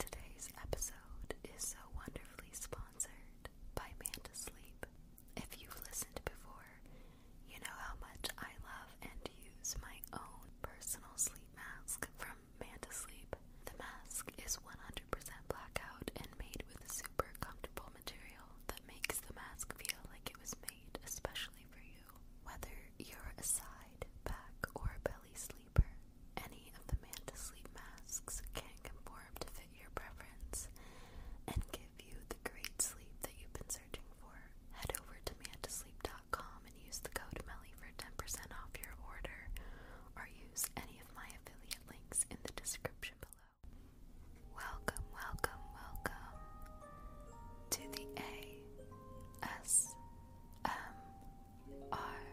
Today's episode is so wonderfully sponsored by Manta Sleep. If you've listened before, you know how much I love and use my own personal sleep mask from Manta Sleep. The mask is 100% blackout and made with a super comfortable material that makes the mask feel like it was made especially for you. Whether you're a side, back, or a belly sleeper, any of the man masks can conform to fit your preference and give you the great sleep that you've been searching for. Head over to mantosleep.com and use the code MELLY for 10% off your order or use any of my affiliate links in the description below. Welcome, welcome, welcome to the A S M our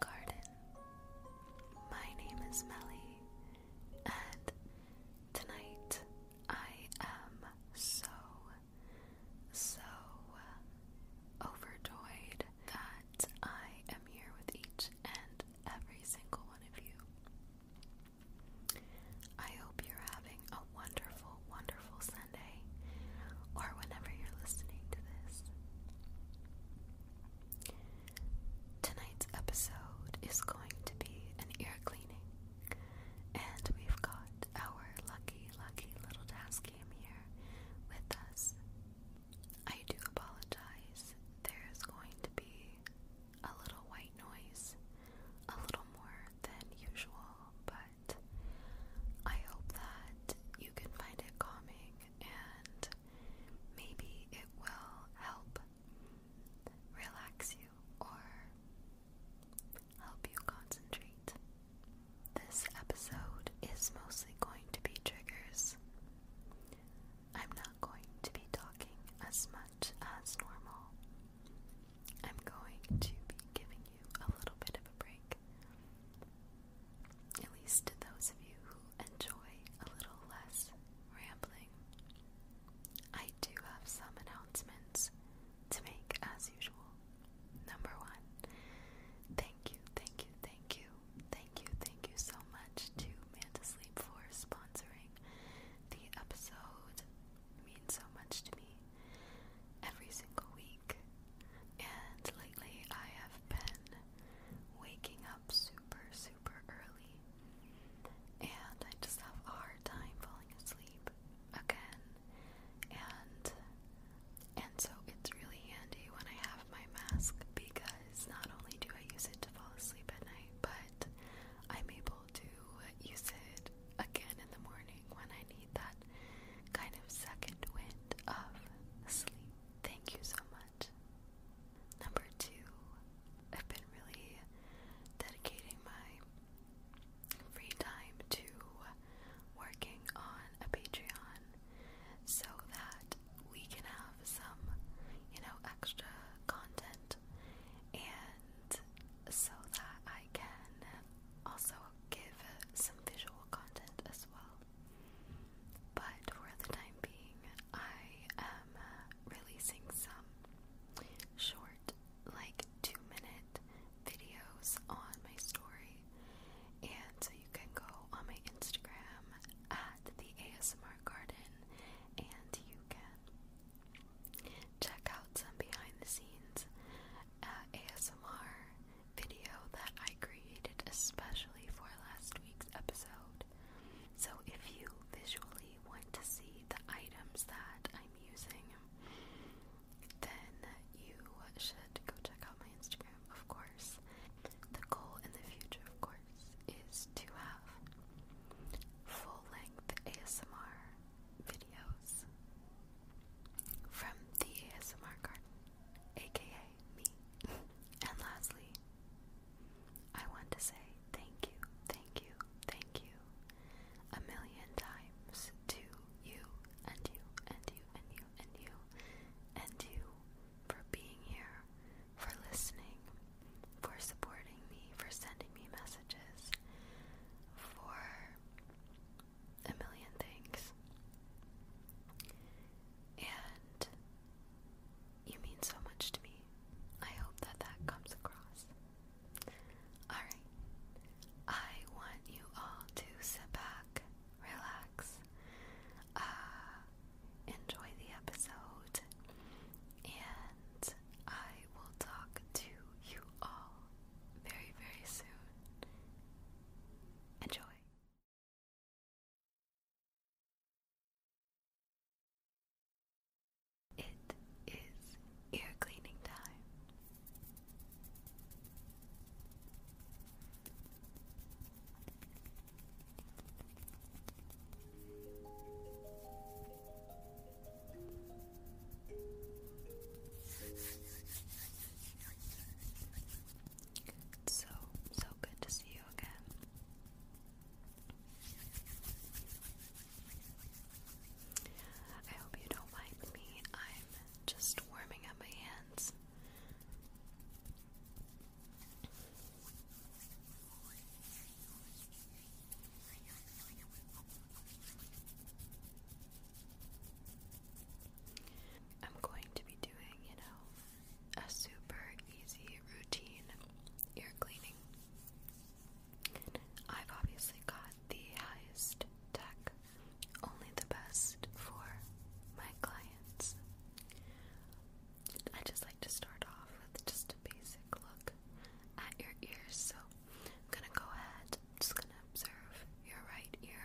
garden. My name is Melly, and tonight I am so, so overjoyed that I am here with each and every single one of you. I hope you're having a wonderful, wonderful or whenever you're listening to this. Tonight's episode is going to be an ear cleaning, and we've got our lucky, lucky little task cam here with us. I do apologize, there's going to be a little white noise, a little more than usual, but I hope that you can find it calming and maybe it will help relax you or help you concentrate. This episode is mostly going to be triggers. I'm not going to be talking as much as normal. I'm going to be giving you a little bit of a break at least to those of you who enjoy a little less rambling. I do have some announcements to make as usual. Number one, thank you, thank you, thank you, thank you, thank you so much to Man for sponsoring the episode. means so much to me. Every single week, and lately I have been waking up super, super early. And I just have a hard time falling asleep again. And and so it's really handy when I have my mask because not only do I use it to fall asleep at night, but I'm able to use it again in the morning when I need that kind of second wind of sleep. Thank you so much. Number two, I've been really dedicating my free time to working on a Patreon so that we can have some, you know, extra content and so that I can also give some visual content as well. But for the time being, I am releasing some short, like two minute videos on my story. And so you can go on my Instagram at the ASMR Garden and you can check out some behind the scenes uh, ASMR video that I created especially for last week's episode. So if you visually want to see the items that I'm using, then you should go check out my Instagram, of course. The goal in the future, of course, is to have full length ASMR videos from the ASMR garden, aka and lastly, I want to say thank you, thank you, thank you a million times to you and you and you and you and you and you for being here, for listening, for supporting me, for sending me messages, for a million things. And you mean so much to me. I hope that that comes across. Alright, I want you all to sit back, relax, uh, enjoy the episode, and I will talk to you all very, very soon. Enjoy. It is ear cleaning time. It's so, so good to see you again. I hope you don't mind me. I'm just warming up my hands. I'm going to be doing, you know, a super easy routine ear cleaning. I've obviously got the highest tech, only the best for my clients. I just like to start off with just a basic look at your ears. So I'm gonna go ahead, just gonna observe your right ear.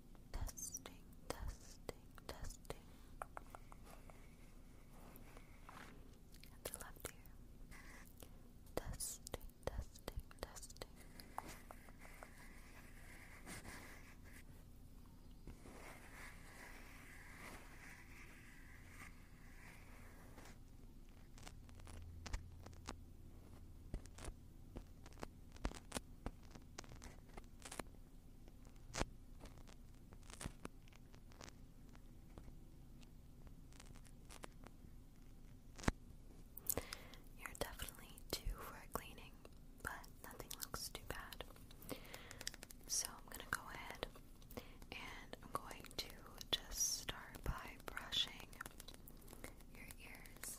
testing, testing, testing. left ear. testing, testing, testing you're definitely due for a cleaning, but nothing looks too bad. So I'm gonna go ahead and I'm going to just start by brushing your ears.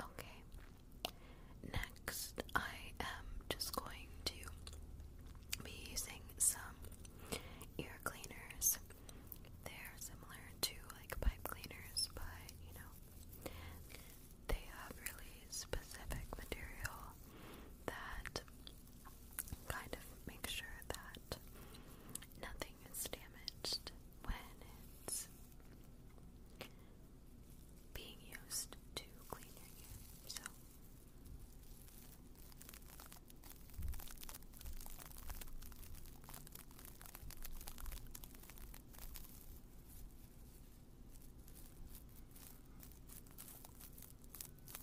Okay. Next, I am just going to be using some ear cleaners. They're similar to like pipe cleaners, but you know, they have really specific material that kind of make sure that nothing is damaged when it's being used to clean your ear. So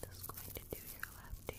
Just going to do your left ear.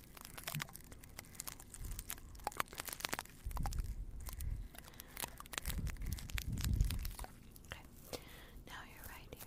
Okay. Now you're right here.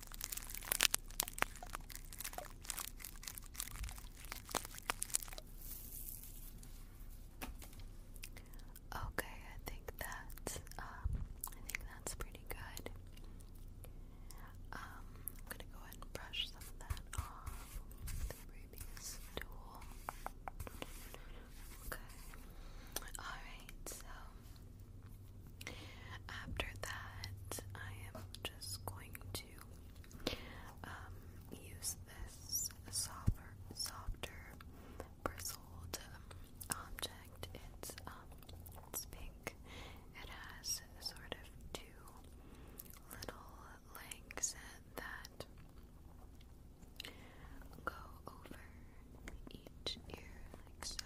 Okay, I think that's um, I think that's pretty good. Um, I'm gonna go ahead and brush some of that off the previous tool. Okay. Alright, so after that I am just going to to um, use this softer, softer bristled um, object. It's um, it's pink. It has sort of two little legs that go over each ear, like so.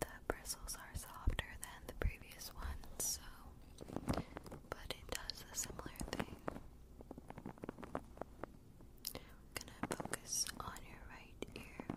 The bristles are softer than the previous ones, so but it does a similar thing. I'm gonna focus on your right ear.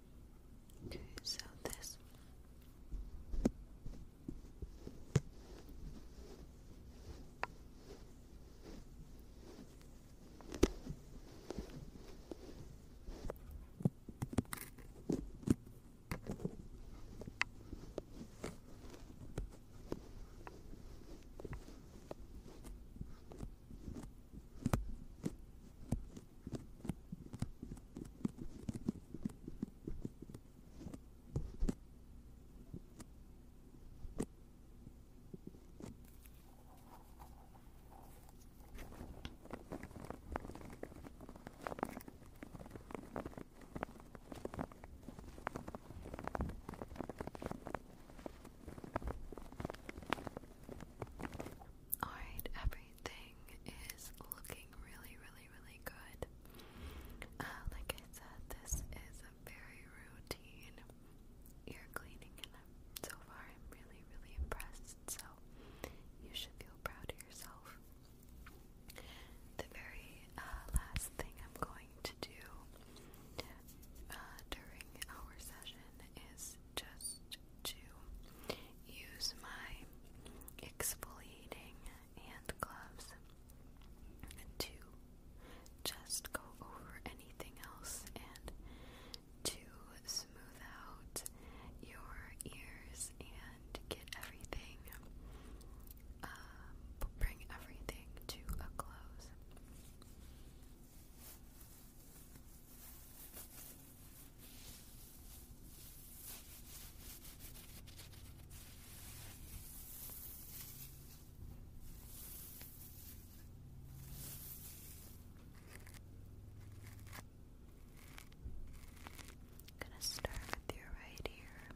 Okay, so this Alright, everything is looking really, really really, good. Uh, like I said, this is a very routine ear cleaning, and am so far I'm really, really impressed. So you should feel proud of yourself. The very uh, last thing I'm going to do uh, during our session is just to use my exfoliating and gloves to just go over anything else and to smooth out your ears and get everything, um, bring everything to a close. I'm gonna start with your right ear.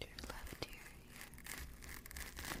your left ear here. Your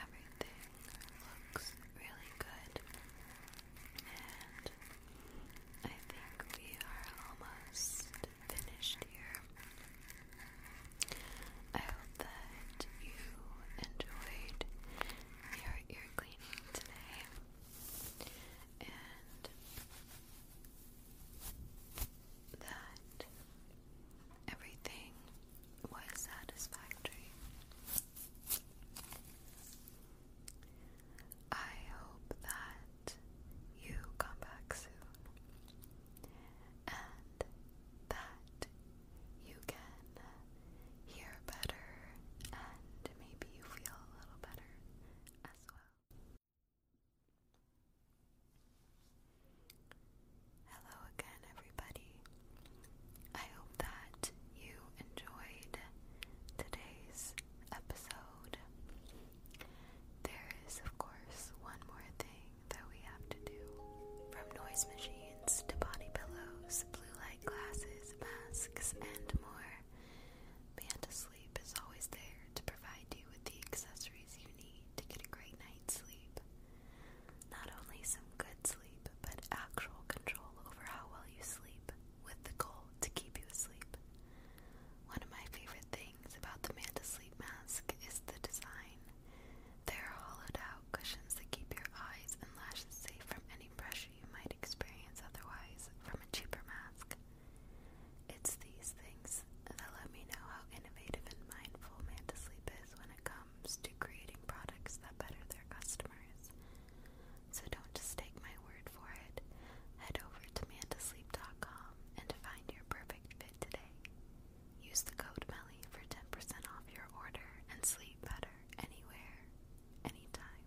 Everything looks really good, and I think we are almost finished here. I hope that you enjoyed your ear cleaning today and that everything was satisfactory. I hope that you come back soon, and that you can hear better, and maybe you feel a little better as well. Hello again, everybody. I hope that you enjoyed today's episode. There is, of course, one more thing that we have to do. From noise machines to body pillows, blue light glasses, masks, and more, Manta Sleep is always there to provide you with the accessories you need to get a great night's sleep. Not only some good sleep, but actual control over how well you sleep, with the goal to keep you asleep. One of my favorite things about the Manta Mask is the design. They are hollowed out cushions that keep your eyes and lashes safe from any pressure you might experience otherwise from a cheaper mask. It's these things that let me know how innovative and mindful Manta is when it comes to creating products that better their customers. So don't just take my word for it. Head over to mantasleep.com and find your perfect fit today. Use the code MELLY for 10% off your order and sleep better anywhere, anytime.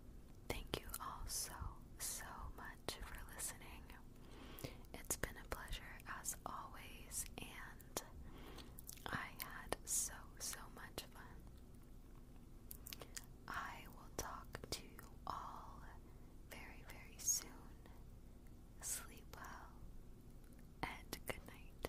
Thank you all so, so much for listening. It's been a pleasure as always, and I had so, so much fun. I will talk to you all very, very soon sleep well, and good night.